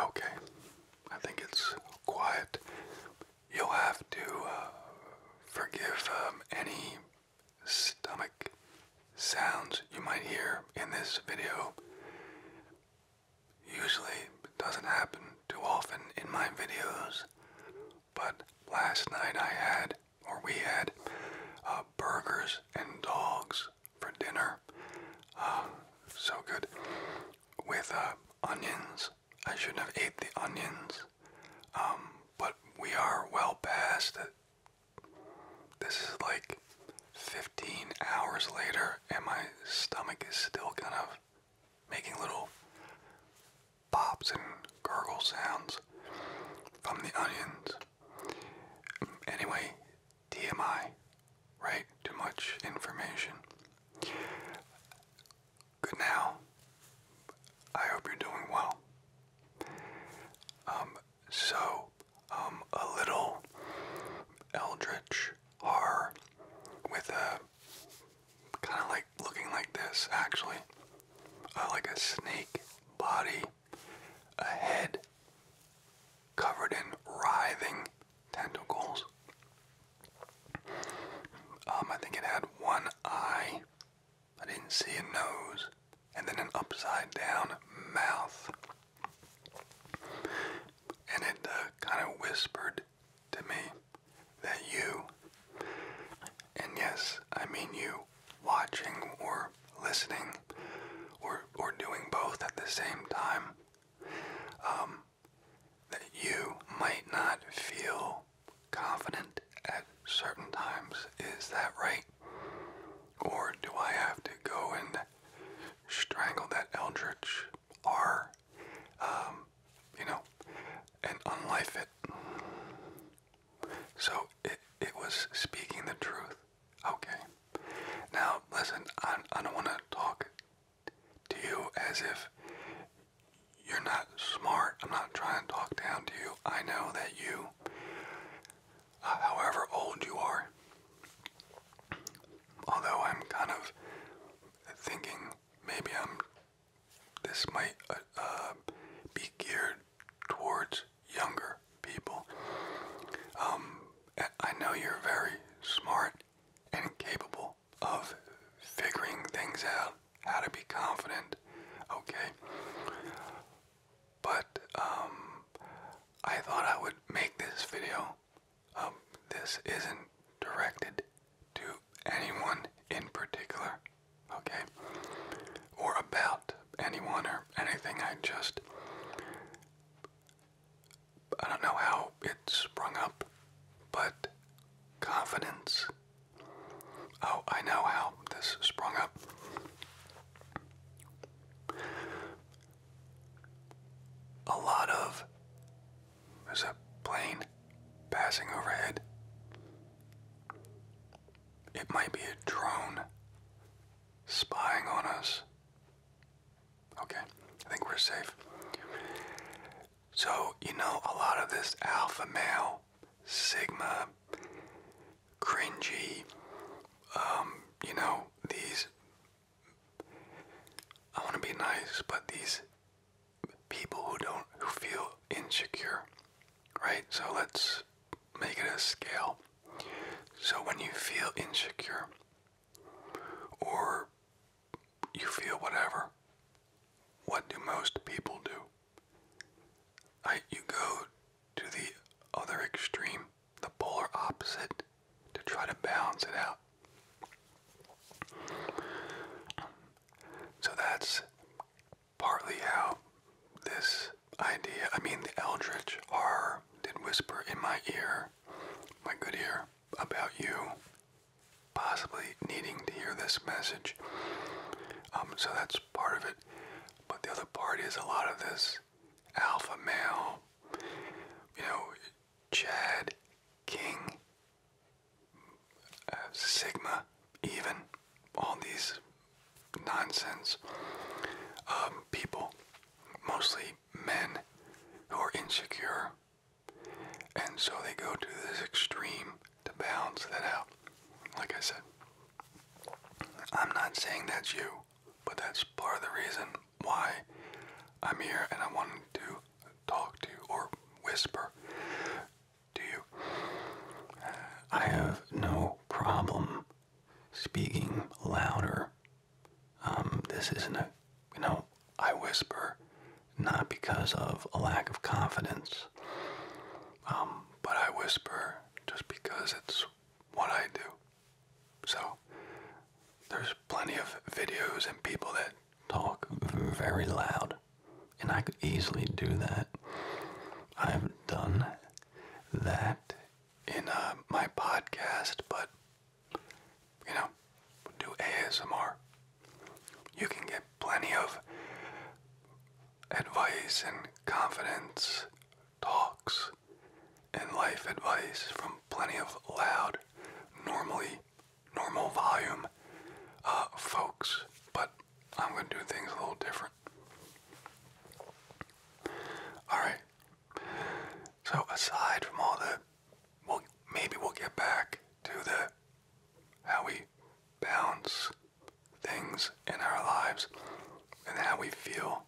Okay, I think it's quiet. You'll have to uh, forgive um, any stomach sounds you might hear in this video. Usually it doesn't happen too often in my videos, but last night I had or we had uh, burgers and dogs for dinner. Uh, so good. With uh, onions. I shouldn't have ate the onions. Um, but we are well past it. This is like 15 hours later, and my stomach is still kind of making little pops and gurgle sounds from the onions. Anyway, TMI, right? Too much information. Good now. I hope you're doing well. Um, so, um, a little eldritch horror with a kind of like looking like this, actually, uh, like a snake body a head covered in writhing tentacles. Um, I think it had one eye. I didn't see a nose, and then an upside down mouth. And it uh, kind of whispered to me that you, and yes, I mean you, watching or listening or, or doing both at the same time, um, that you might not feel confident at certain times. Is that right? Or do I have to go and strangle that eldritch R, um, you know, and unlife it? So it, it was speaking the truth. Okay. Now, listen, I, I don't want to talk to you as if you're not smart. I'm not trying to talk down to you. I know that you, uh, however old you are, although I'm kind of thinking maybe I'm, this might uh, uh be geared towards younger people. Um, I know you're very smart and capable of figuring things out, how to be confident, okay? But um, I thought I would make this video. Um, this isn't directed to anyone in particular, okay? or about anyone or anything. I just, I don't know how it sprung up, but confidence. Oh, I know how this sprung up. A lot of. There's a plane passing overhead. It might be a drone spying on us. Okay, I think we're safe. So, you know, a lot of this alpha male, sigma, cringy, um, you know, these, I want to be nice, but these people who don't, who feel insecure, right? So let's make it a scale. So when you feel insecure or you feel whatever, what do most people do? I, you go to the other extreme, the polar opposite, to try to balance it out. So that's partly how this idea, I mean the eldritch R did whisper in my ear, my good ear, about you possibly needing to hear this message. Um, so that's part of it. But the other part is a lot of this alpha male, you know, Chad, King, uh, Sigma, even all these nonsense. Um, people, mostly men, who are insecure. And so they go to this extreme to balance that out. Like I said, I'm not saying that's you, but that's part of the reason why I'm here and I wanted to talk to you or whisper to you. I have no problem speaking louder. Um, this isn't a, you know, I whisper not because of a lack of confidence, um, but I whisper just because it's what I do. So there's plenty of videos and people that talk very loud, and I could easily do that. I've done that in uh, my podcast, but you know, do ASMR. You can get plenty of advice and confidence talks and life advice from plenty of loud, normally normal volume uh, folks, but I'm gonna do things a little different. All right, so aside from all the, well, maybe we'll get back to the how we bounce things in our lives and how we feel.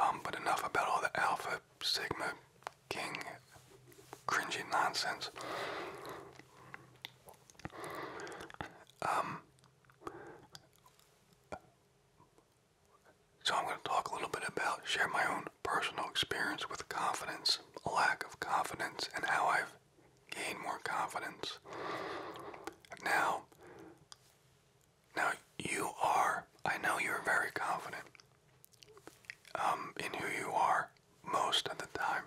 Um, but enough about all the alpha, sigma, king, cringy nonsense. Um, so I'm going to talk a little bit about share my own personal experience with confidence, a lack of confidence, and how I've gained more confidence. Now, now you are. I know you're very confident um, in who you are most of the time,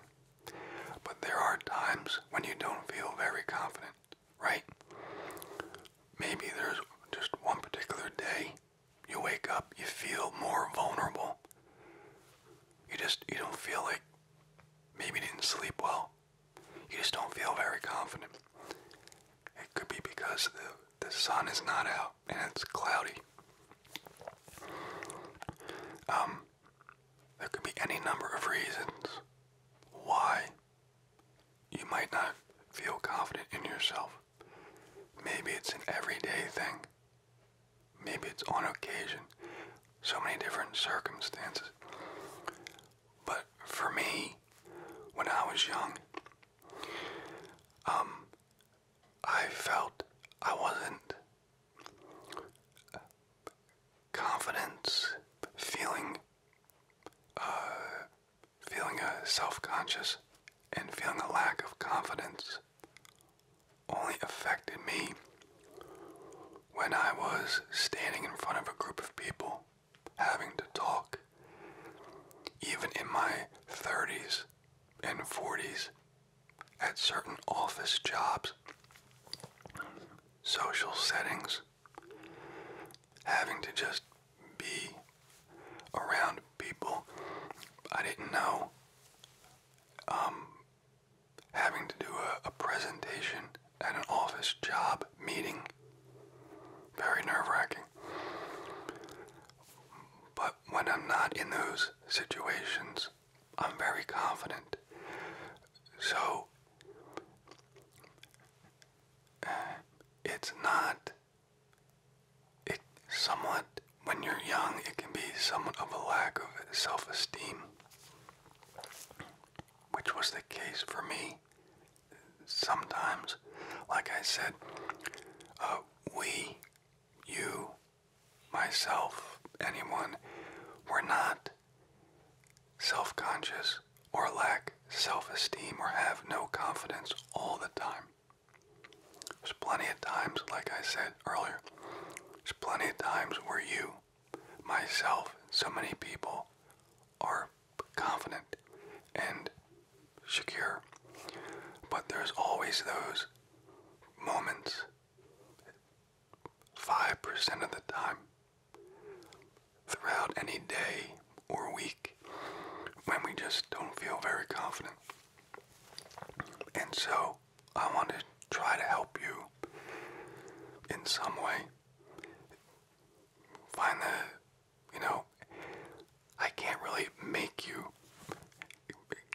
but there are times when you don't feel very confident right? Maybe there's just one particular day you wake up, you feel more vulnerable. You just, you don't feel like, maybe you didn't sleep well. You just don't feel very confident. It could be because the, the sun is not out and it's cloudy. Um, there could be any number of reasons why you might not feel confident in yourself. Maybe it's an everyday thing. Maybe it's on occasion. So many different circumstances. But for me, when I was young, um, I felt I wasn't uh, confident, feeling uh, feeling a self-conscious and feeling a lack of confidence only affected me when I was standing in front of a group of people having to talk. Even in my 30s and 40s, at certain office jobs, social settings, having to just be around people I didn't know, um, having to do a presentation at an office job meeting, very nerve wracking. But when I'm not in those situations, I'm very confident. So, it's not it somewhat when you're young it can be somewhat of a lack of self-esteem which was the case for me sometimes like i said uh, we you myself anyone were not self-conscious or lack self-esteem or have no confidence all the time. There's plenty of times, like I said earlier, there's plenty of times where you, myself, so many people are confident and secure. But there's always those moments, 5% of the time, throughout any day or week when we just don't feel very confident. And so I want to try to help you in some way. Find the, you know, I can't really make you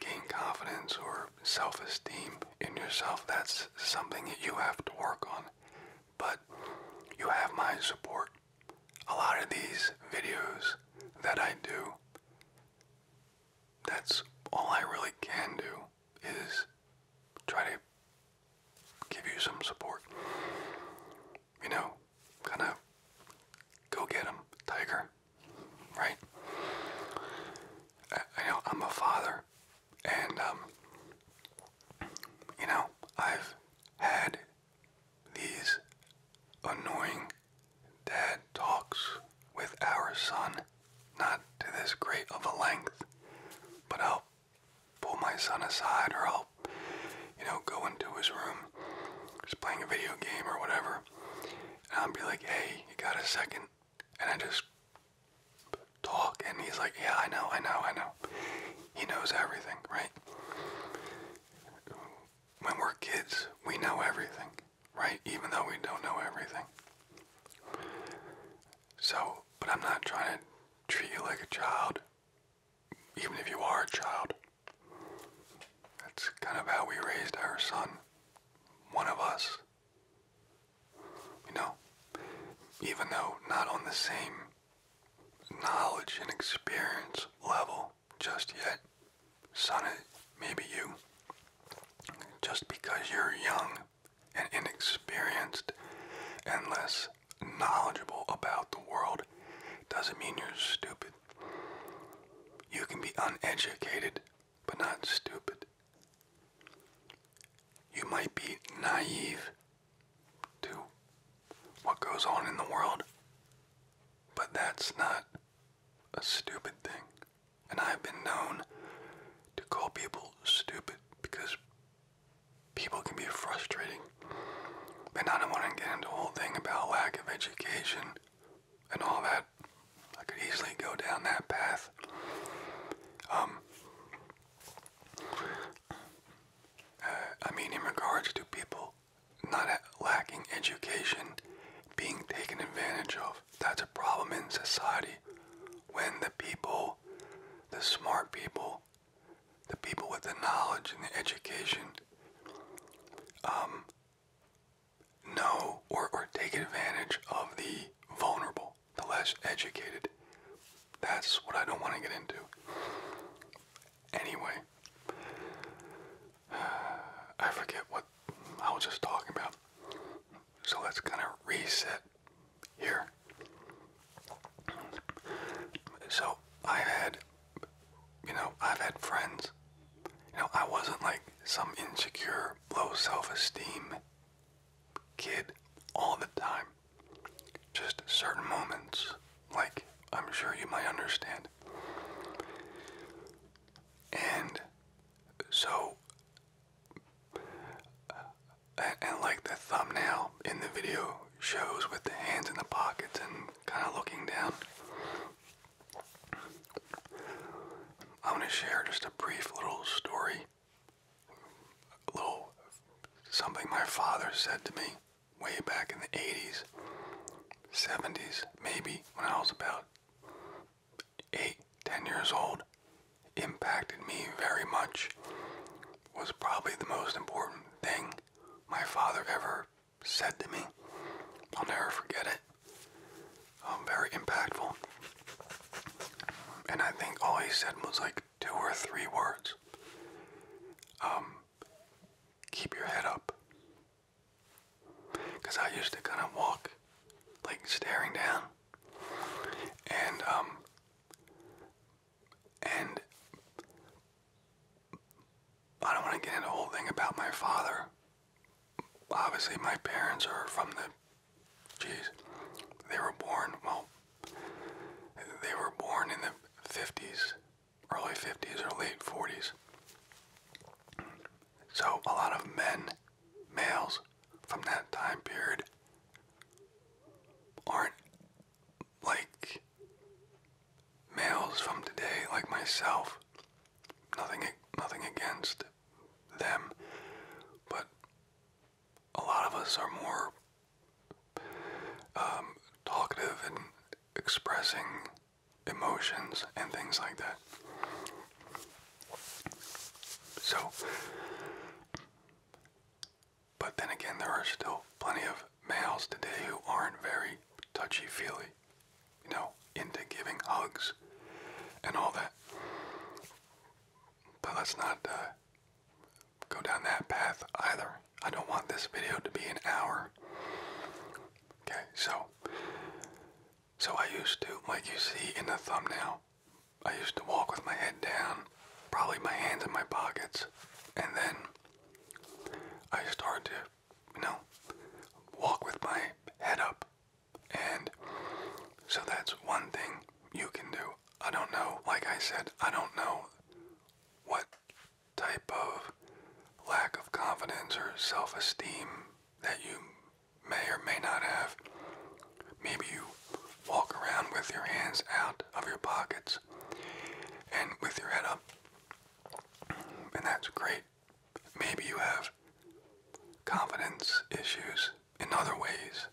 gain confidence or self esteem in yourself. That's something that you have to work on. But you have my support a lot of these videos that I do, that's all I really can do is try to give you some support. You know, kind of go get him, tiger, right? I, know I'm a father, and um, you know I've had these annoying dad talks with our son, not to this great of a length, but I'll pull my son aside or I'll, you know, go into his room. He's playing a video game or whatever. And I'll be like, hey, you got a second? And I just talk. And he's like, yeah, I know, I know, I know. He knows everything, right? when we're kids, we know everything, right? Even though we don't know everything. So, but I'm not trying to treat you like a child, even if you are a child. That's kind of how we raised our son, one of us. You know, even though not on the same knowledge and experience level just yet, son. Maybe you. Just because you're young and inexperienced and less knowledgeable about the world doesn't mean you're stupid. You can be uneducated, but not stupid. You might be naive to what goes on in the world. But that's not a stupid thing. And I've been known to call people stupid because people can be frustrating. But I don't want to get into the whole thing about lack of education and all that. I could easily go down that path. Um, uh, I mean, in regards to people not lacking education, being taken advantage of. That's a problem in society when the people, the smart people, the people with the knowledge and the education, um, know or, or take advantage of the vulnerable, the less educated. That's what I don't want to get into. Anyway, I forget what I was just talking about. So let's kind of reset here. So i had, you know, I've had friends. You know, I wasn't like some insecure, low self-esteem kid all the time. Just certain moments like I'm sure you might understand. And so, and, like the thumbnail in the video shows with the hands in the pockets and kind of looking down, I'm to share just a brief little story, a little something my father said to me way back in the 80s, 70s, maybe when I was about 8, 10 years old impacted me very much. Was probably the most important thing my father ever said to me. I'll never forget it. Um, very impactful. And I think all he said was like two or three words. Um, keep your head up. Because I used to kind of walk like staring down. And, um, and I don't want to get into the whole thing about my father. Obviously, my parents are from the, geez, they were born, well, they were born in the 50s early 50s or late 40s. So a lot of men, males from that time period aren't like males from today like myself. Nothing nothing against them, but a lot of us are more um, talkative and expressing emotions and things like that. So, but then again, there are still plenty of males today who aren't very touchy feely, you know, into giving hugs and all that. But let's not uh, go down that path either. I don't want this video to be an hour. Okay, so so I used to, like you see in the thumbnail, I used to walk with my head down, probably my hands in my pockets, and then I started to, you know, walk with my head up. And so that's one thing you can do. I don't know, like I said, I don't know what type of lack of confidence or self esteem that you may or may not have. Maybe you walk around with your hands out of your pockets and with your head up, and that's great. Maybe you have confidence issues in other ways,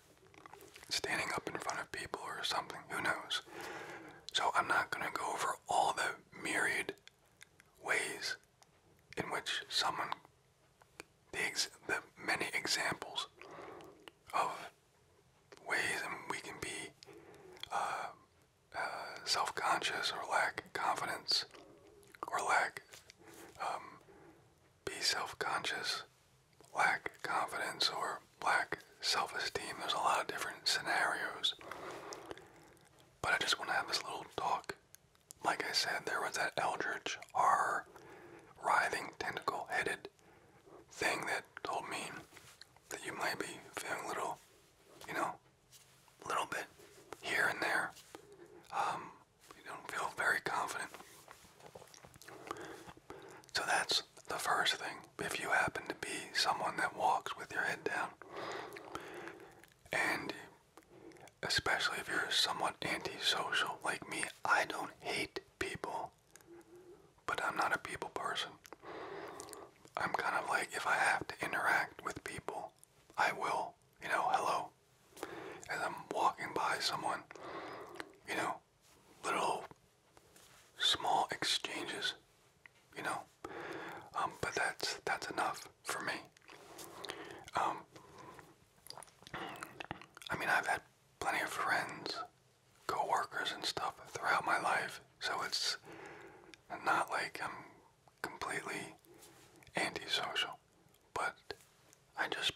standing up in front of people or something, who knows. So I'm not going to go over all the myriad ways in which someone, the, many examples of ways in which we can be uh, uh, self-conscious or lack confidence or lack um, be self-conscious lack confidence or lack self esteem. There's a lot of different scenarios. But I just want to have this little talk. Like I said, there was that eldritch, r, writhing, tentacle headed thing that told me that you might be feeling a little, you know, a little bit here and there. Um, you don't feel very confident. So that's the first thing. If you happen to be someone that walks with your head down, and especially if you're somewhat antisocial like me, I don't hate people, but I'm not a people person. I'm kind of like, if I have to interact with people, I will, you know, hello. As I'm walking by someone, you know, little small exchanges you know. Um, but that's that's enough for me. Um, I mean, I've had plenty of friends, coworkers, and stuff throughout my life, so it's not like I'm completely antisocial. But I just,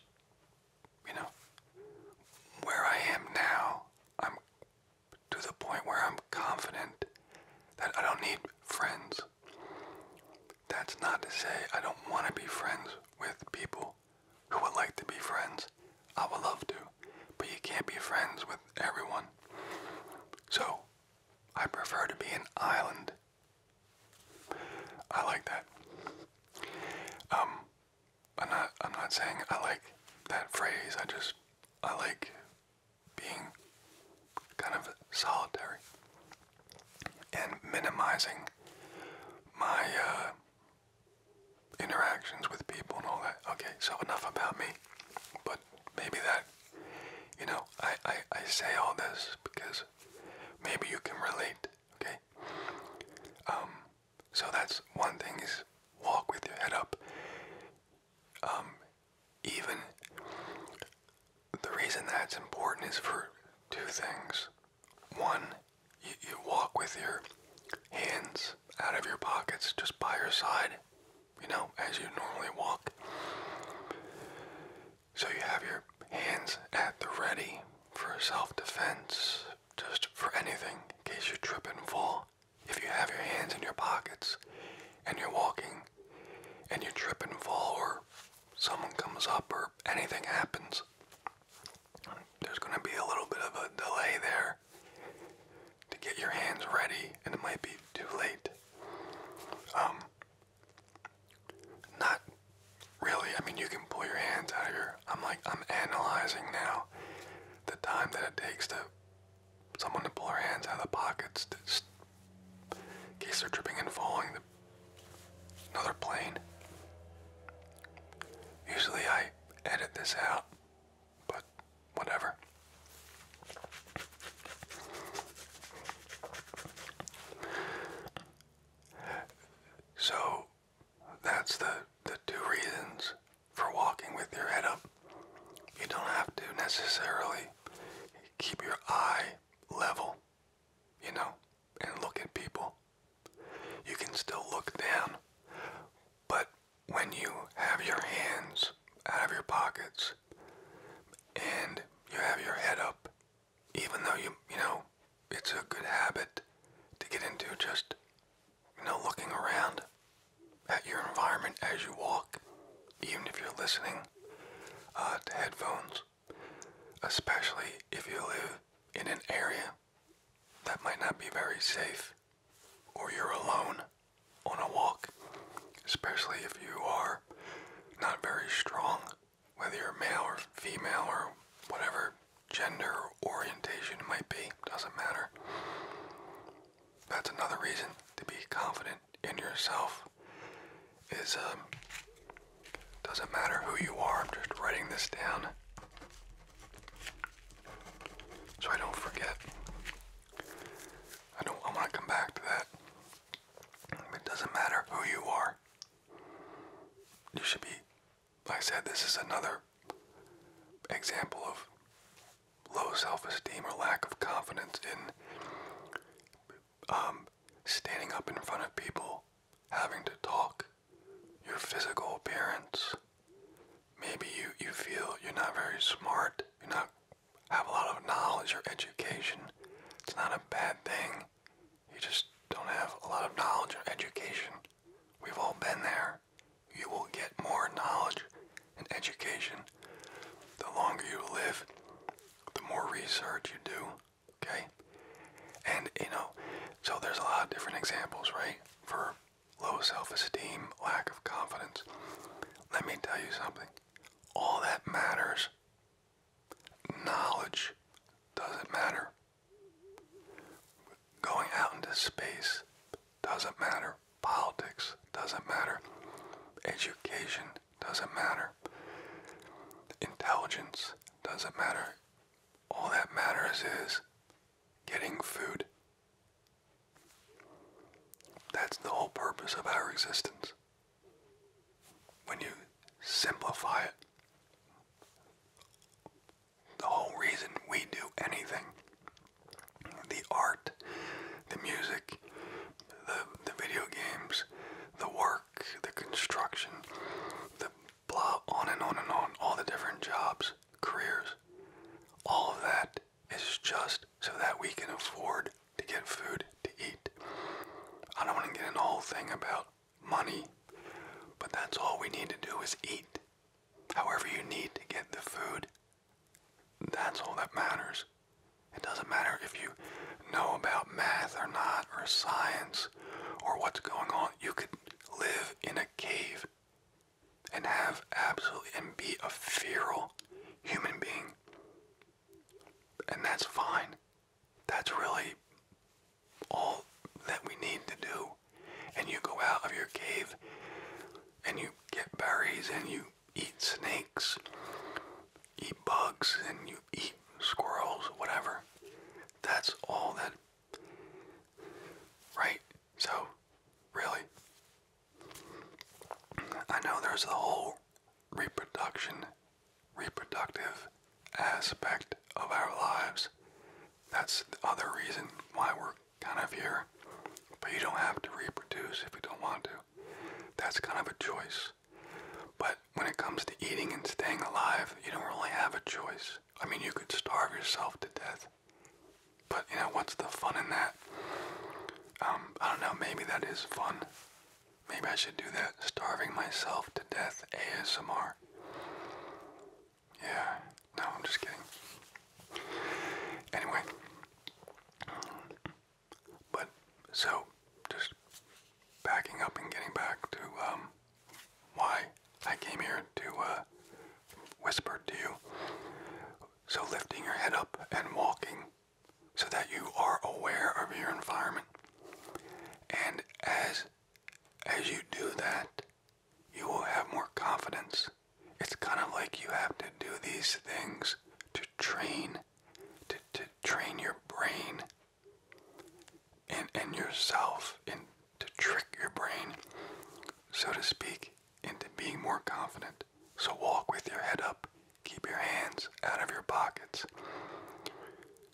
you know, where I am now, I'm to the point where I'm confident that I don't need friends. That's not to say I don't want to be friends with people who would like to be friends. I would love to, but you can't be friends with everyone. So, I prefer to be an island. I like that. Um, I'm not. I'm not saying I like that phrase. I just. I like being kind of solitary and minimizing my uh, interactions with people and all that. Okay, so enough about me. But maybe that, you know, I, I, I say all this because maybe you can relate, okay? Um, so that's one thing is walk with your head up. Um, even the reason that's important is for two things. One, you, you walk with your hands out of your pockets just by your side, you know, as you normally walk. So you have your hands at the ready for self defense, just for anything in case you trip and fall if you have your hands in your pockets and you're walking and you trip and fall or someone comes up or anything happens, there's going to be a little bit of a delay there to get your hands ready and it might be too late. Um, not really. I mean, you can pull your hands out of your. I'm like, I'm analyzing now the time that it takes to someone to pull their hands out of the pockets, just, in case they're tripping and falling. The, another plane. Usually I edit this out, but whatever. So that's the the two reasons for walking with your head up. You don't have to necessarily keep your eye level, you know, and look at people. You can still look down, but when you have your hands out of your pockets and you have your head up, even though you, you know, it's a good habit to get into just, you know, looking around at your environment as you walk, even if you're listening uh, headphones, especially if you live in an area that might not be very safe or you're alone on a walk, especially if you are not very strong, whether you're male or female or whatever gender orientation it might be, doesn't matter that's another reason to be confident in yourself is um doesn't matter who you are i'm just writing this down so i don't forget i don't i want to come back to that it doesn't matter who you are you should be like i said this is another example of low self-esteem or lack of confidence in um, standing up in front of people, having to talk, your physical appearance. Maybe you, you feel you're not very smart, you not have a lot of knowledge or education. It's not a bad thing. You just don't have a lot of knowledge or education. We've all been there. You will get more knowledge and education. The longer you live, the more research you do, okay? And, you know, so there's a lot of different examples, right? For low self-esteem, lack of confidence. Let me tell you something. All that matters, knowledge doesn't matter. Going out into space doesn't matter. Politics doesn't matter. Education doesn't matter. Intelligence doesn't matter. All that matters is getting food. That's the whole purpose of our existence. When you simplify it, the whole reason we do anything the art, the music, the, the video games, the work, the construction, the blah, on and on and on, all the different jobs, careers. All of that is just so that we can afford to get food to eat. I don't want to get into the whole thing about money, but that's all we need to do is eat. However, you need to get the food that's all that matters. It doesn't matter if you know about math or not, or science, or what's going on. You could live in a cave and have absolutely, and be a feral human being. And that's fine. That's really all that we need to do. And you go out of your cave and you get berries and you eat snakes, eat bugs, and you eat squirrels, whatever. That's all that. Right? So, really? I know there's the whole reproduction, reproductive aspect of our lives. That's the other reason why we're kind of here. But you don't have to reproduce if you don't want to. That's kind of a choice. But when it comes to eating and staying alive, you don't really have a choice. I mean, you could starve yourself to death. But, you know, what's the fun in that? Um, I don't know, maybe that is fun. Maybe I should do that. Starving myself to death ASMR. Yeah, no, I'm just kidding. Anyway, but so just backing up and getting back to um, why I came here to uh, whisper to you. So lifting your head up and walking so that you are aware of your environment. And as as you do that, you will have more confidence. It's kind of like you have to do these things to train to, to train your brain and, and yourself and to trick your brain, so to speak, into being more confident. So walk with your head up, keep your hands out of your pockets,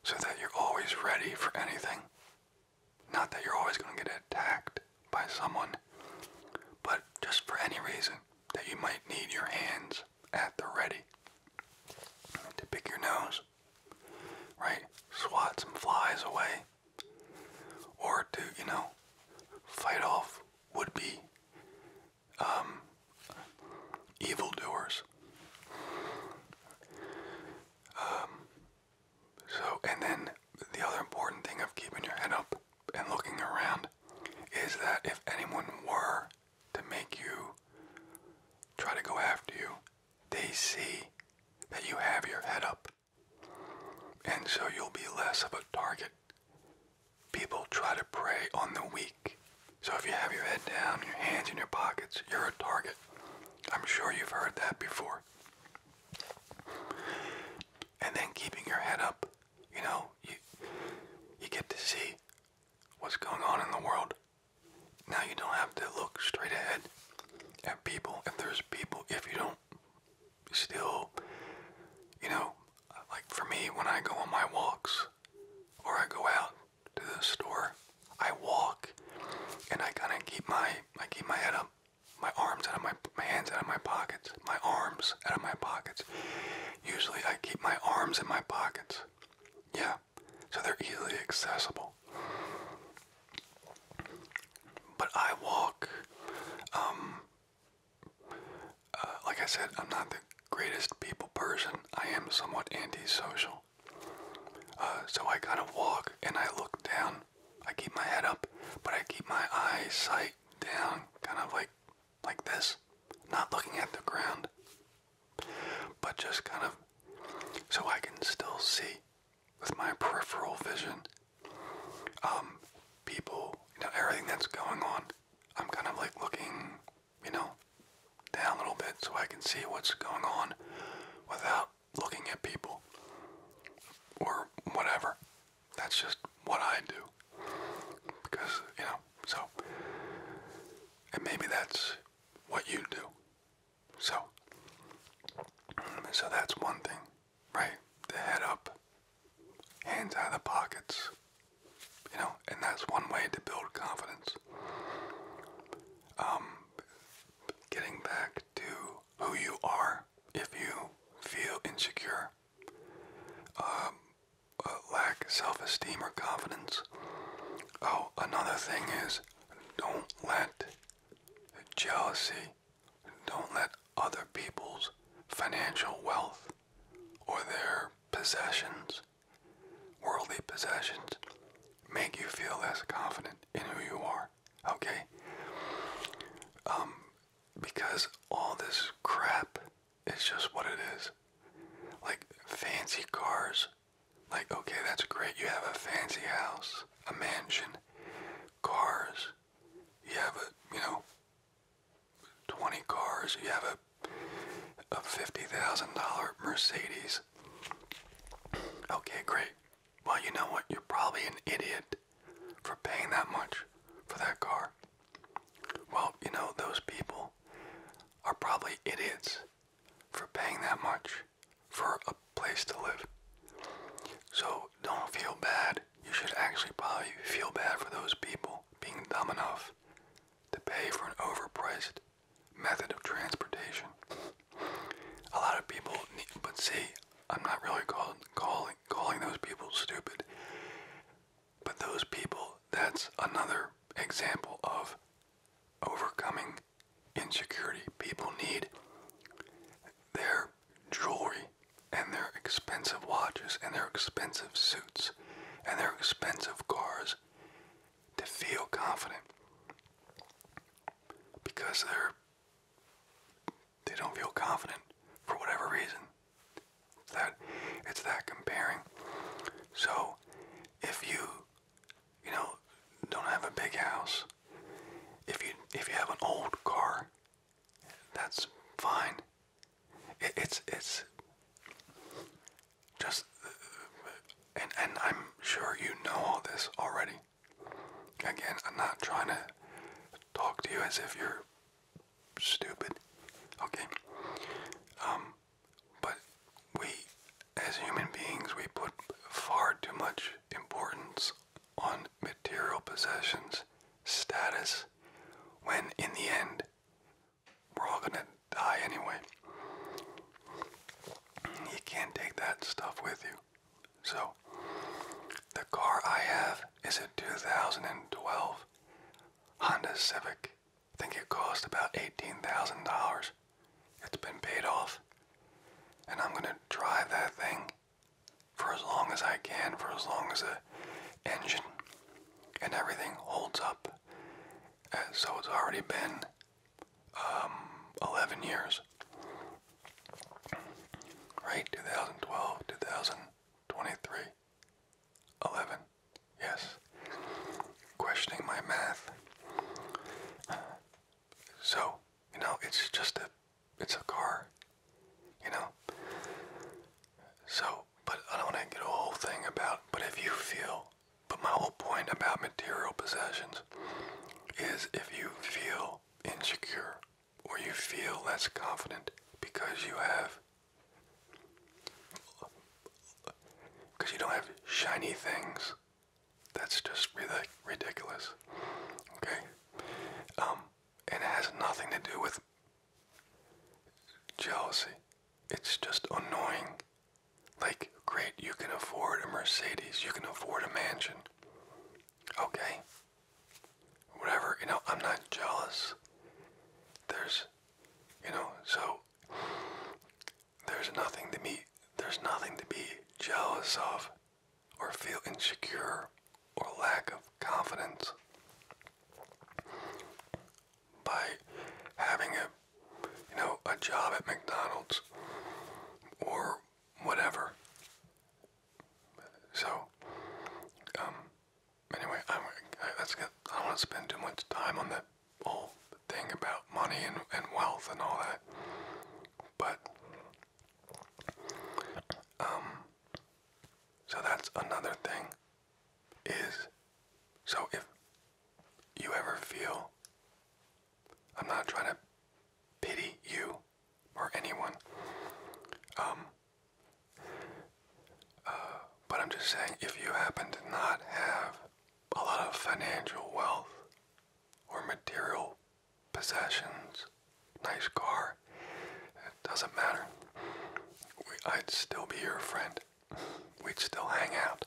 so that you're always ready for anything. Not that you're always going to get attacked by someone, but just for any reason that you might need your hands at the ready to pick your nose, right? Swat some flies away, or to, you know, fight off would be um, evildoers. Um, so, and then the other important thing of keeping your head up and looking around is that if anyone were to make you try to go after you, they see that you have your head up. And so you'll be less of a target. People try to prey on the weak. So if you have your head down, your hands in your pockets, you're a target. I'm sure you've heard that before. And then keeping your head up you know, you you get to see what's going on in the world. Now you don't have to look straight ahead at people. If there's people, if you don't still, you know, like for me, when I go on my walks or I go out to the store, I walk and I kind of keep my, I keep my head up, my arms out of my, my hands out of my pockets, my arms out of my pockets. Usually I keep my arms in my pockets. Yeah, so they're easily accessible. But I walk, um, uh, like I said, I'm not the greatest people person. I am somewhat antisocial. Uh, so I kind of walk and I look down. I keep my head up, but I keep my eyesight down, kind of like like this, not looking at the ground, but just kind of so I can still see with my peripheral vision um, people, you know, everything that's going on. I'm kind of like looking, you know, down a little bit so I can see what's going on without looking at people or whatever. That's just what I do because, you know, so, and maybe that's what you do. So, so that's one thing, right? The head up, hands out of the pockets, you know, and that's one way to build confidence. Um, getting back to who you are if you feel insecure um, lack self-esteem or confidence. Oh, another thing is don't let jealousy, don't let other people's financial wealth or their possessions, worldly possessions, make you feel less confident in who you are. Okay? Um, because all this crap it's just what it is. Like fancy cars. Like, okay, that's great. You have a fancy house, a mansion, cars. You have a, you know, 20 cars. You have a a $50,000 Mercedes. Okay, great. Well, you know what? You're probably an idiot for paying that much for that car. Well, you know, those people are probably idiots for paying that much for a place to live. So don't feel bad. You should actually probably feel bad for those people being dumb enough to pay for an overpriced method of transportation. A lot of people, need, but see, I'm not really call, calling calling those people stupid. But those people, that's another example of overcoming insecurity. People need their jewelry and their expensive watches and their expensive suits and their expensive cars to feel confident because they're they don't feel confident for whatever reason that it's that comparing. So if you you know don't have a big house, if you if you have an old car, that's fine. it's it's just and and I'm sure you know all this already. Again, I'm not trying to talk to you as if you're stupid. Okay. Um, but we, as human beings, we put far too much importance on material possessions, status, when in the end, we're all gonna die anyway. You can't take that stuff with you. So, the car I have is a 2012 Honda Civic I think it cost about $18,000. It's been paid off. And I'm going to drive that thing for as long as I can, for as long as the engine and everything holds up. Uh, so it's already been um, 11 years. Right? 2012, 2023, 11. Yes. Questioning my math. So, you know, it's just a it's a car. You know? So, but I don't wanna get a whole thing about but if you feel but my whole point about material possessions is if you feel insecure or you feel less confident because you have because you don't have shiny things. That's just really ridiculous. Okay? Um, and it has nothing to do with jealousy. It's just annoying. Like, great, you can afford a Mercedes, you can afford a mansion. Okay? Whatever, you know, I'm not jealous. There's, you know, so there's nothing to be there's nothing to be jealous of or feel insecure or lack of confidence. By having a you know, a job at McDonald's or whatever. So um, anyway, I, I, that's good. I don't want to spend too much time on that whole thing about money and, and wealth and all that. But, um, so that's another thing is, so if you ever feel, I'm not trying to pity you or anyone, um, uh, but I'm just saying, if you happen to not have a lot of financial wealth or material possessions, nice car, it doesn't matter. I'd still be your friend. We'd still hang out.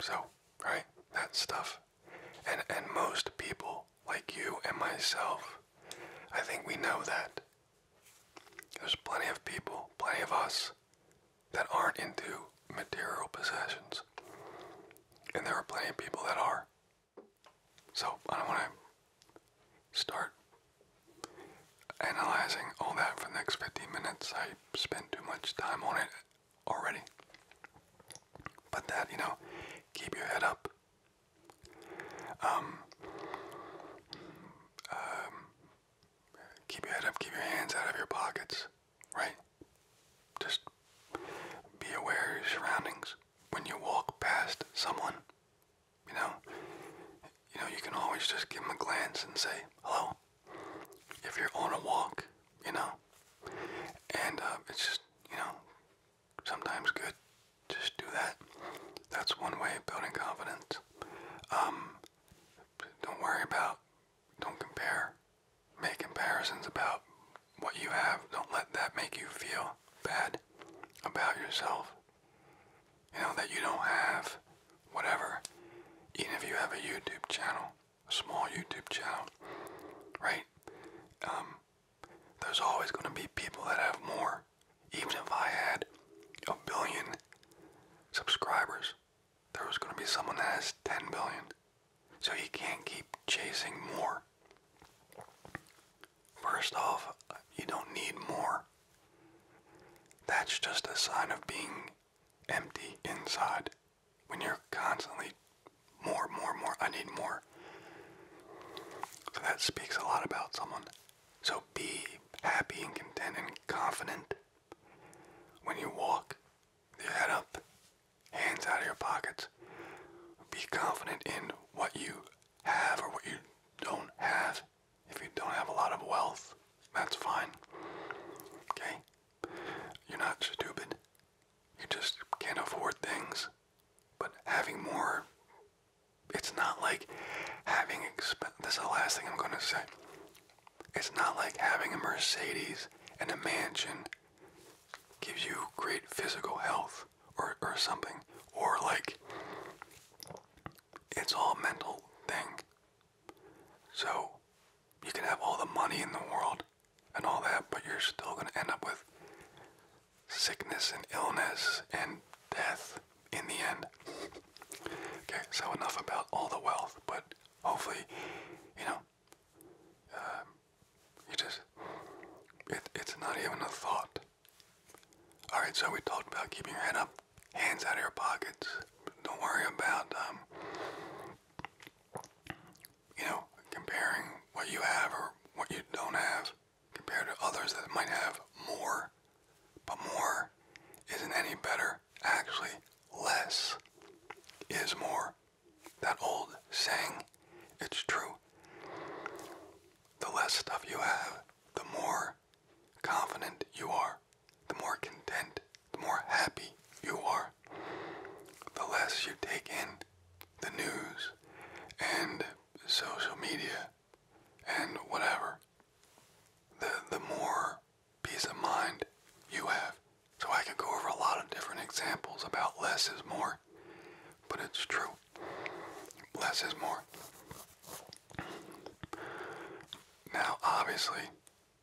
So, right, that stuff. And, and most people, like you and myself, I think we know that. There's plenty of people, plenty of us, that aren't into material possessions. And there are plenty of people that are. So I don't want to start analyzing all that for the next 15 minutes. I spent too much time on it already. But that, you know, keep your head up. Um, um, keep your head up, keep your hands out of your pockets, right? Just be aware of your surroundings. When you walk past someone, you know, you know, you can always just give them a glance and say hello. If you're on a walk, you know, and uh, it's just, you know, sometimes good. Just do that. That's one way of building confidence. Um, don't worry about, don't compare. Make comparisons about what you have. Don't let that make you feel bad about yourself. You know, that you don't have whatever. Even if you have a YouTube channel, a small YouTube channel, right? Um, there's always going to be people that have more even if I had a billion subscribers, there was going to be someone that has 10 billion. So you can't keep chasing more. First off, you don't need more. That's just a sign of being empty inside. When you're constantly more, more, more, I need more. that speaks a lot about someone. So be happy and content and confident when you walk with your head up, hands out of your pockets. Be confident in what you have or what you don't have. If you don't have a lot of wealth, that's fine. Okay? You're not stupid. You just can't afford things. But having more it's not like having exp this is the last thing I'm gonna say. It's not like having a Mercedes and a mansion gives you great physical health or, or something. Or like it's all mental thing. So you can have all the money in the world and all that, but you're still gonna end up with sickness and illness and death in the end. Okay, so enough about all the wealth, but hopefully, you know, um, you just, it, it's not even a thought. Alright, so we talked about keeping your head up, hands out of your pockets. Don't worry about, um, you know, comparing what you have or what you don't have compared to others that might have more but more isn't any better. Actually, less is more. That old saying, it's true. The less stuff you have, the more confident you are, the more content, the more happy you are. The less you take in the news and social media and whatever the the more peace of mind you have. So I can go over a lot of different examples about less is more, but it's true. Less is more. Now, obviously,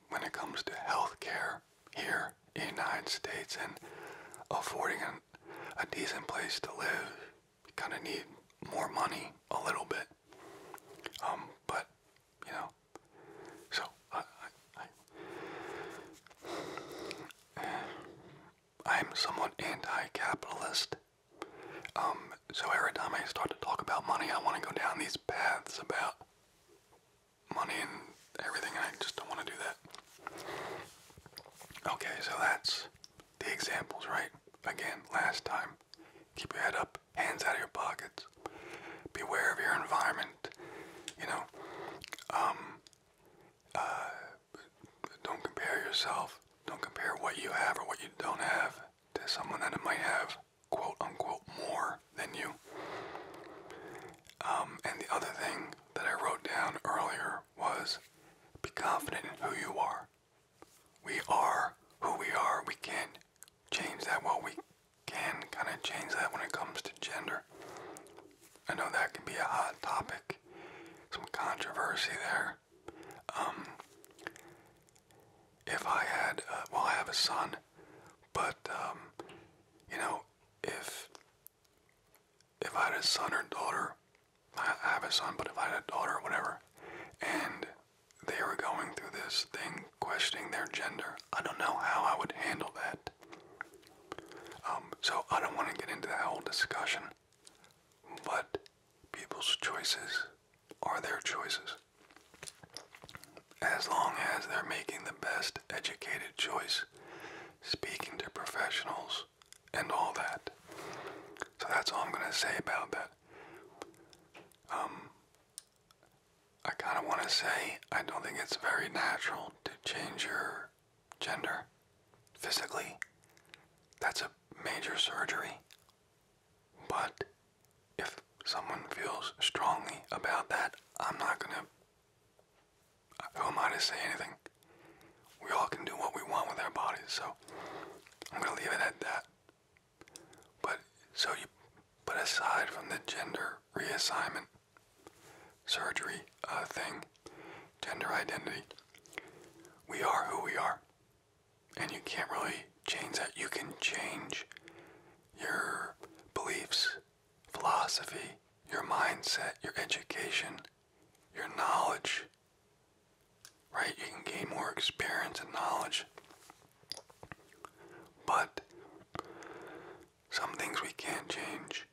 when it comes to health care here in the United States and affording an, a decent place to live, you kind of need more money a little bit. Um, but you know, so I, I, I am somewhat anti-capitalist. Um, so every time I start to talk about money, I want to go down these paths about money and everything, and I just don't want to do that. Okay, so that's the examples, right? Again, last time. Keep your head up up, hands out of your pockets. Beware of your environment. You know, um, uh, don't compare yourself. Don't compare what you have or what you don't have to someone that might have quote unquote more than you. Um, and the other thing that I wrote down earlier was be confident in who you are we are who we are. We can't change that. Well, we can kind of change that when it comes to gender. I know that can be a hot topic, some controversy there. Um, if I had, uh, well, I have a son, but um, you know, if if I had a son or daughter, I have a son, but if I had a daughter or whatever, and they were going through this thing questioning their gender. I don't know how I would handle that. Um, so I don't want to get into that whole discussion. But people's choices are their choices. As long as they're making the best educated choice, speaking to professionals, and all that. So that's all I'm going to say about that. Um, I kind of want to say I don't think it's very natural to change your gender physically. That's a major surgery. But if someone feels strongly about that, I'm not going to. Who am I to say anything? We all can do what we want with our bodies, so I'm going to leave it at that. But so you but aside from the gender reassignment surgery uh, thing, gender identity, we are who we are. And you can't really change that. You can change your beliefs, philosophy, your mindset, your education, your knowledge, right? You can gain more experience and knowledge. But some things we can't change,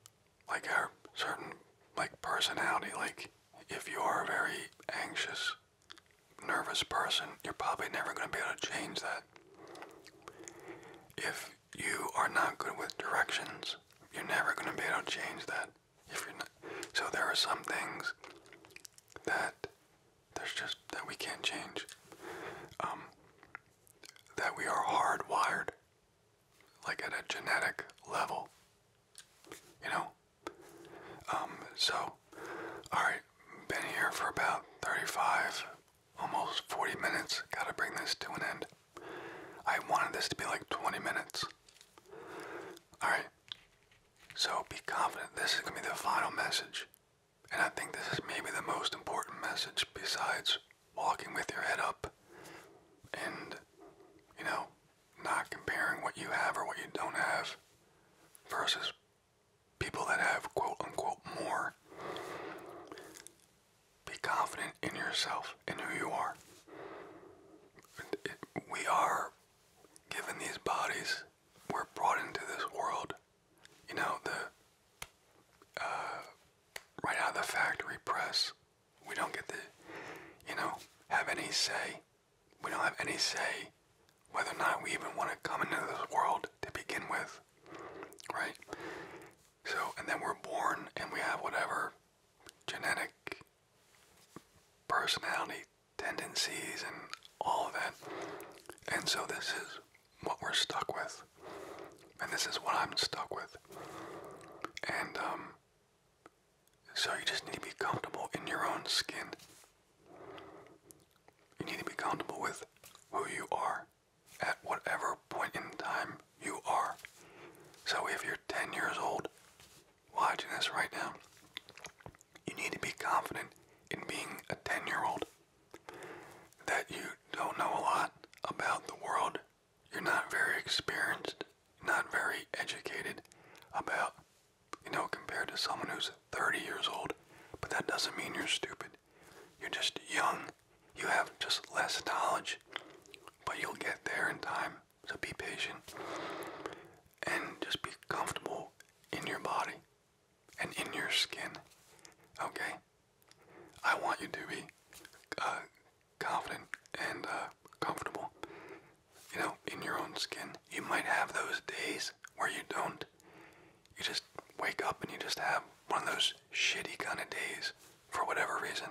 like our certain like personality. Like if you are a very anxious, nervous person, you're probably never going to be able to change that. If you are not good with directions, you're never going to be able to change that. If you're not, so there are some things that there's just that we can't change. Um, that we are hardwired, like at a genetic level. You know? Um, so, alright, been here for about 35, almost 40 minutes. Gotta bring this to an end. I wanted this to be like 20 minutes. Alright. So be confident. This is going to be the final message. And I think this is maybe the most important message besides walking with your head up and, you know, not comparing what you have or what you don't have versus people that have quote unquote more. Be confident in yourself and who you are. It, we are given these bodies, we're brought into this world you know, the uh, right out of the factory press. We don't get to, you know, have any say. We don't have any say whether or not we even want to come into this world to begin with, right? So, and then we're born and we have whatever genetic personality tendencies and all of that. And so this is what we're stuck with. And this is what I'm stuck with. And um, so you just need to be comfortable in your own skin. You need to be comfortable with who you are at whatever point in time you are. So if you're 10 years old watching this right now, you need to be confident in being a 10 year old. That you don't know a lot about the world. You're not very experienced, not very educated about, you know, compared to someone who's 30 years old. But that doesn't mean you're stupid. You're just young. You have just less knowledge. But you'll get there in time. So be patient. And just be comfortable in your body and in your skin. Okay? I want you to be uh, confident and uh, comfortable. You know, in your own skin. You might have those days where you don't. You just wake up and you just have one of those shitty kind of days for whatever reason.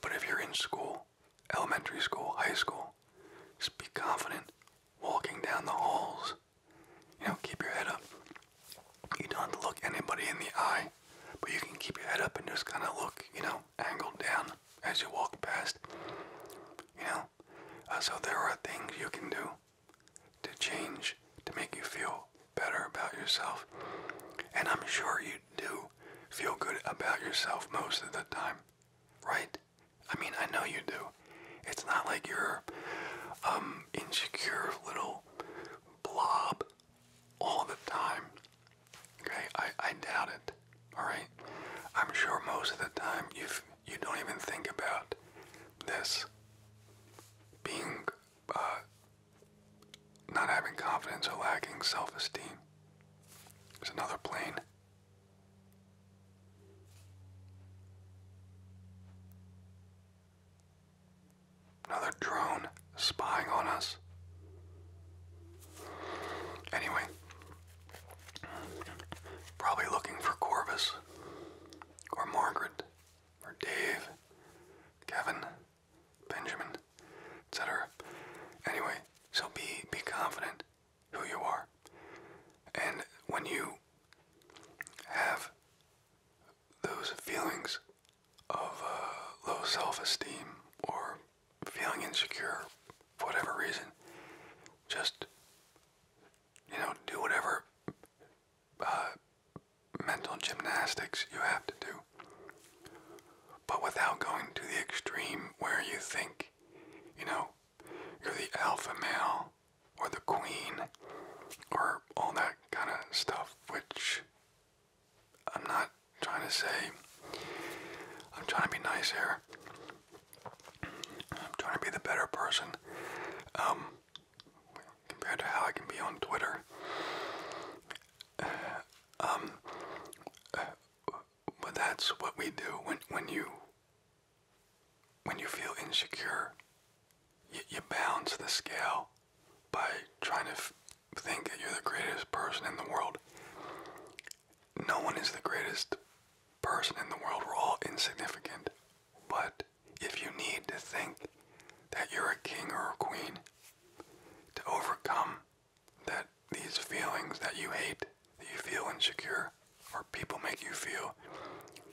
But if you're in school, elementary school, high school, just be confident walking down the halls you know, keep your head up. You don't have to look anybody in the eye, but you can keep your head up and just kind of look, you know, angled down as you walk past. You know, uh, so there are things you can do to change, to make you feel better about yourself. And I'm sure you do feel good about yourself most of the time, right? I mean, I know you do. It's not like you're um, insecure little blob all the time. Okay, I, I doubt it. Alright? I'm sure most of the time you you don't even think about this being uh, not having confidence or lacking self-esteem. There's another plane Another drone spying on us. Anyway, probably looking for Corvus, or Margaret, or Dave, Kevin, Benjamin, etc. Anyway, so be be confident who you are. And when you have those feelings of uh, low self esteem or feeling insecure for whatever reason, just, you know, do whatever uh, mental gymnastics you have to do. But without going to the extreme where you think, you know, you're the alpha male or the queen or all that kind of stuff, which I'm not trying to say. I'm trying to be nice here. I'm trying to be the better person um, compared to how I can be on Twitter. um, but that's what we do when when you when you feel insecure, you, balance the scale by trying to think that you're the greatest person in the world. No one is the greatest person in the world. We're all insignificant. But if you need to think that you're a king or a queen to overcome that these feelings that you hate, that you feel insecure, or people make you feel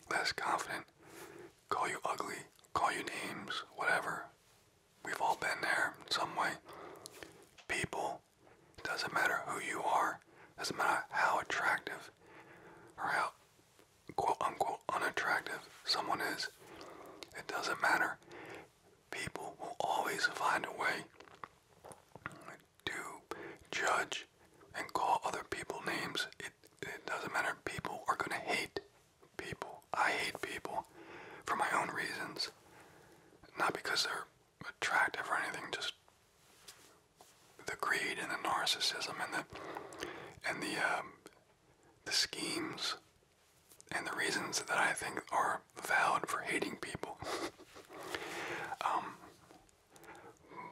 less confident, call you ugly, call you names, whatever. We've all been there in some way. People, doesn't matter who you are, doesn't matter how attractive or how quote unquote unattractive someone is, it doesn't matter. People will always find a way to judge and call other people names. It, doesn't matter. People are going to hate people. I hate people for my own reasons. Not because they're attractive or anything, just the greed and the narcissism and the and the um, the schemes and the reasons that I think are valid for hating people. Um,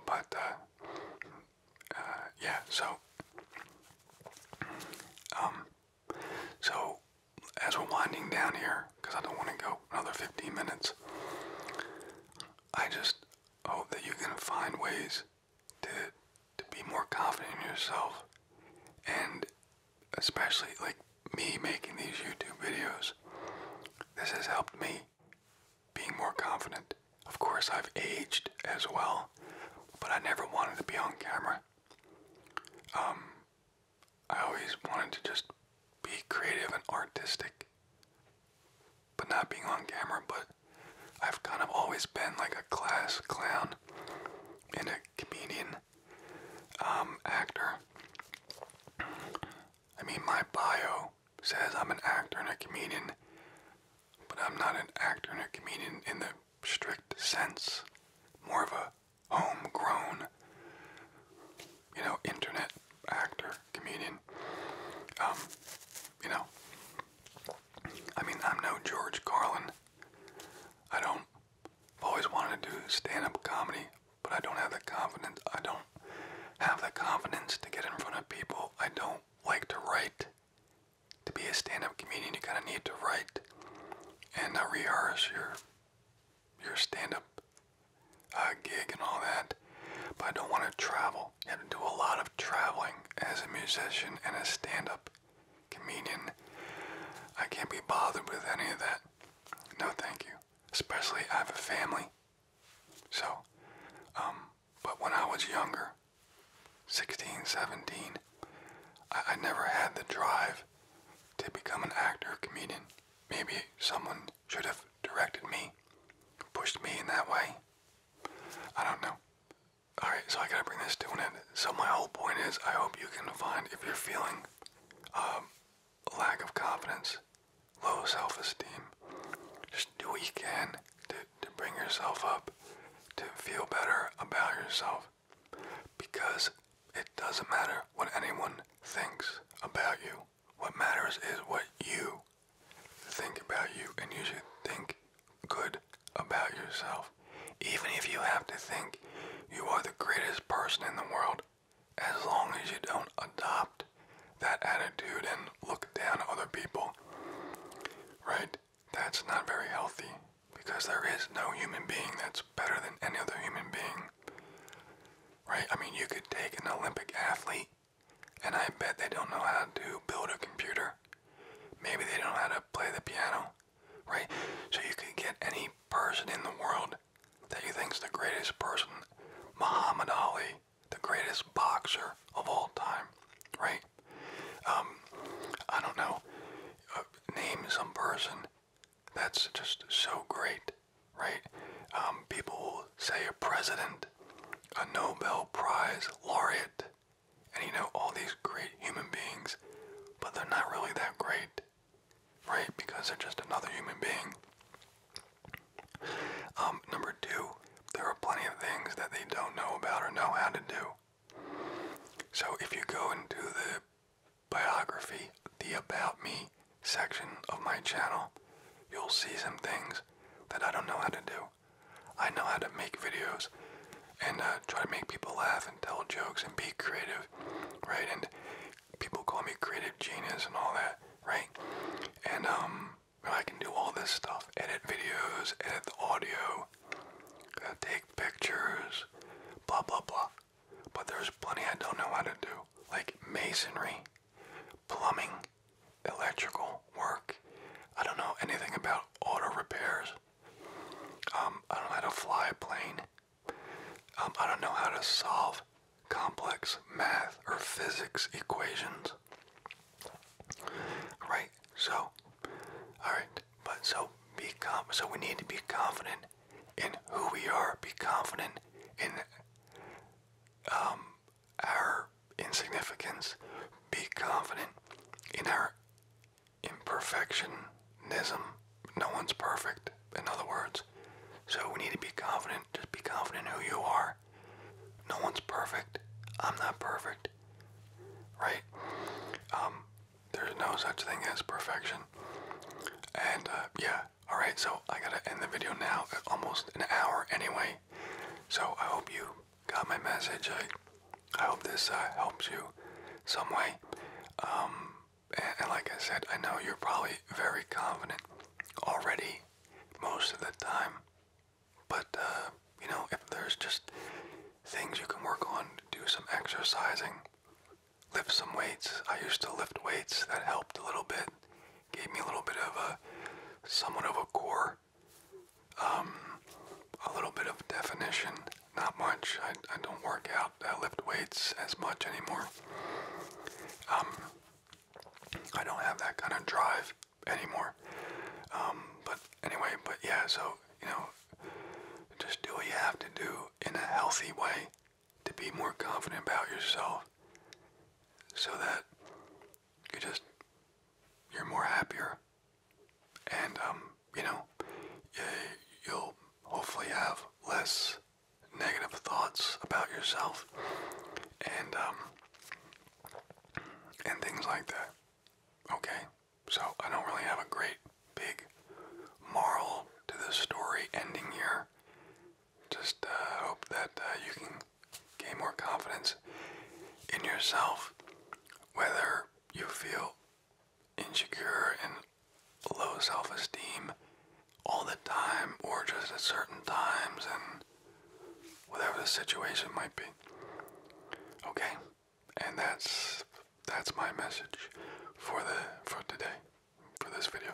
but uh, uh, yeah, so um, so as we're winding down here, because I don't want to go another 15 minutes, I just hope that you can find ways to to be more confident in yourself, and especially like me making these YouTube videos. This has helped me being more confident. Of course, I've aged as well, but I never wanted to be on camera. Um, I always wanted to just be creative and artistic, but not being on camera. But I've kind of always been like a class clown and a comedian, um, actor. I mean, my bio says I'm an actor and a comedian, but I'm not an actor and a comedian in the strict sense. More of a homegrown, you know, internet actor, comedian. Um, you know, I mean, I'm no George Carlin. I don't. always wanted to do stand-up comedy, but I don't have the confidence. I don't have the confidence to get in front of people. I don't like to write. To be a stand-up comedian, you kind of need to write and rehearse your your stand-up uh, gig and all that. But I don't want to travel. You have to do a lot of traveling as a musician and a stand-up comedian. I can't be bothered with any of that. No, thank you. Especially I have a family. So, um, but when I was younger, 16, 17, I, I never had the drive to become an actor, comedian. Maybe someone should have directed me, pushed me in that way. I don't know. Alright, so I gotta bring this to an end. So my whole point is, I hope you can find, if you're feeling um, a lack of confidence, low self-esteem. Just do what you can to, to bring yourself up, to feel better about yourself, because it doesn't matter what anyone thinks about you. What matters is what you think about you, and you should think good about yourself. Even if you have to think you are the greatest person in the world, as long as you don't adopt that attitude and look down on other people, right? That's not very healthy because there is no human being that's better than any other human being, right? I mean, you could take an Olympic athlete, and I bet they don't know how to build a computer. Maybe they don't know how to play the piano, right? So you could get any person in the world that you think's the greatest person, Muhammad Ali, the greatest boxer of all time, right? Um, I don't know. Uh, name some person that's just so great, right? Um, people will say a president, a Nobel Prize laureate, and you know, all these great human beings, but they're not really that great, right? Because they're just another human being. Um, number two, there are plenty of things that they don't know about or know how to do. So if you go into the biography, the About Me section of my channel, you'll see some things that I don't know how to do. I know how to make videos and uh, try to make people laugh and tell jokes and be creative, right? And people call me creative genius and all that, right? And um, I can do all this stuff, edit videos, edit audio, take pictures, blah, blah, blah. But there's plenty I don't know how to do, like masonry, plumbing, electrical work. I don't know anything about auto repairs. Um, I don't know how to fly a plane. Um, I don't know how to solve complex math or physics equations. Right? So, alright. But so, be com so we need to be confident in who we are, be confident in um, our insignificance, be confident in our imperfectionism. No one's perfect, in other words. So we need to be confident, just be confident in who you are no one's perfect. I'm not perfect. Right? Um, there's no such thing as perfection. And uh, yeah, alright, so I gotta end the video now almost an hour anyway. So I hope you got my message. I, I hope this uh, helps you some way. Um, and like I said, I know you're probably very confident already most of the time. But, uh, you know, if there's just things you can work on, do some exercising, lift some weights. I used to lift weights, that helped a little bit, gave me a little bit of a somewhat of a core, um, a little bit of definition. Not much. I, I don't work out, I lift weights as much anymore. Um, I don't have that kind of drive anymore. Um, but anyway, but yeah, so, you know, just do what you have to do in a healthy way to be more confident about yourself so that you just, you're more happier. And, um, you know, you'll hopefully have less negative thoughts about yourself. And, um, and things like that. Okay? So I don't really have a great big moral to this story ending here. Just uh, hope that uh, you can gain more confidence in yourself, whether you feel insecure and low self esteem all the time or just at certain times and whatever the situation might be. Okay, and that's that's my message for the for today for this video.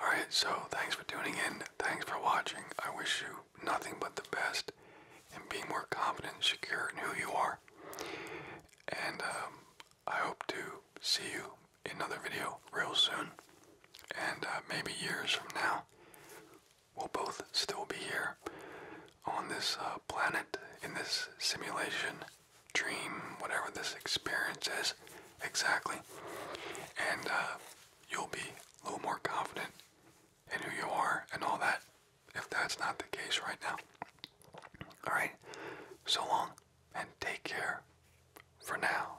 All right, so thanks for tuning in. Thanks for watching. I wish you nothing but the best and being more confident secure who you are. And um, I hope to see you another video real soon and uh, maybe years from now we'll both still be here on this uh, planet, in this simulation, dream, whatever this experience is exactly. And uh, you'll be a little more confident in who you are and all that, if that's not the case right now. Alright, so long and take care for now.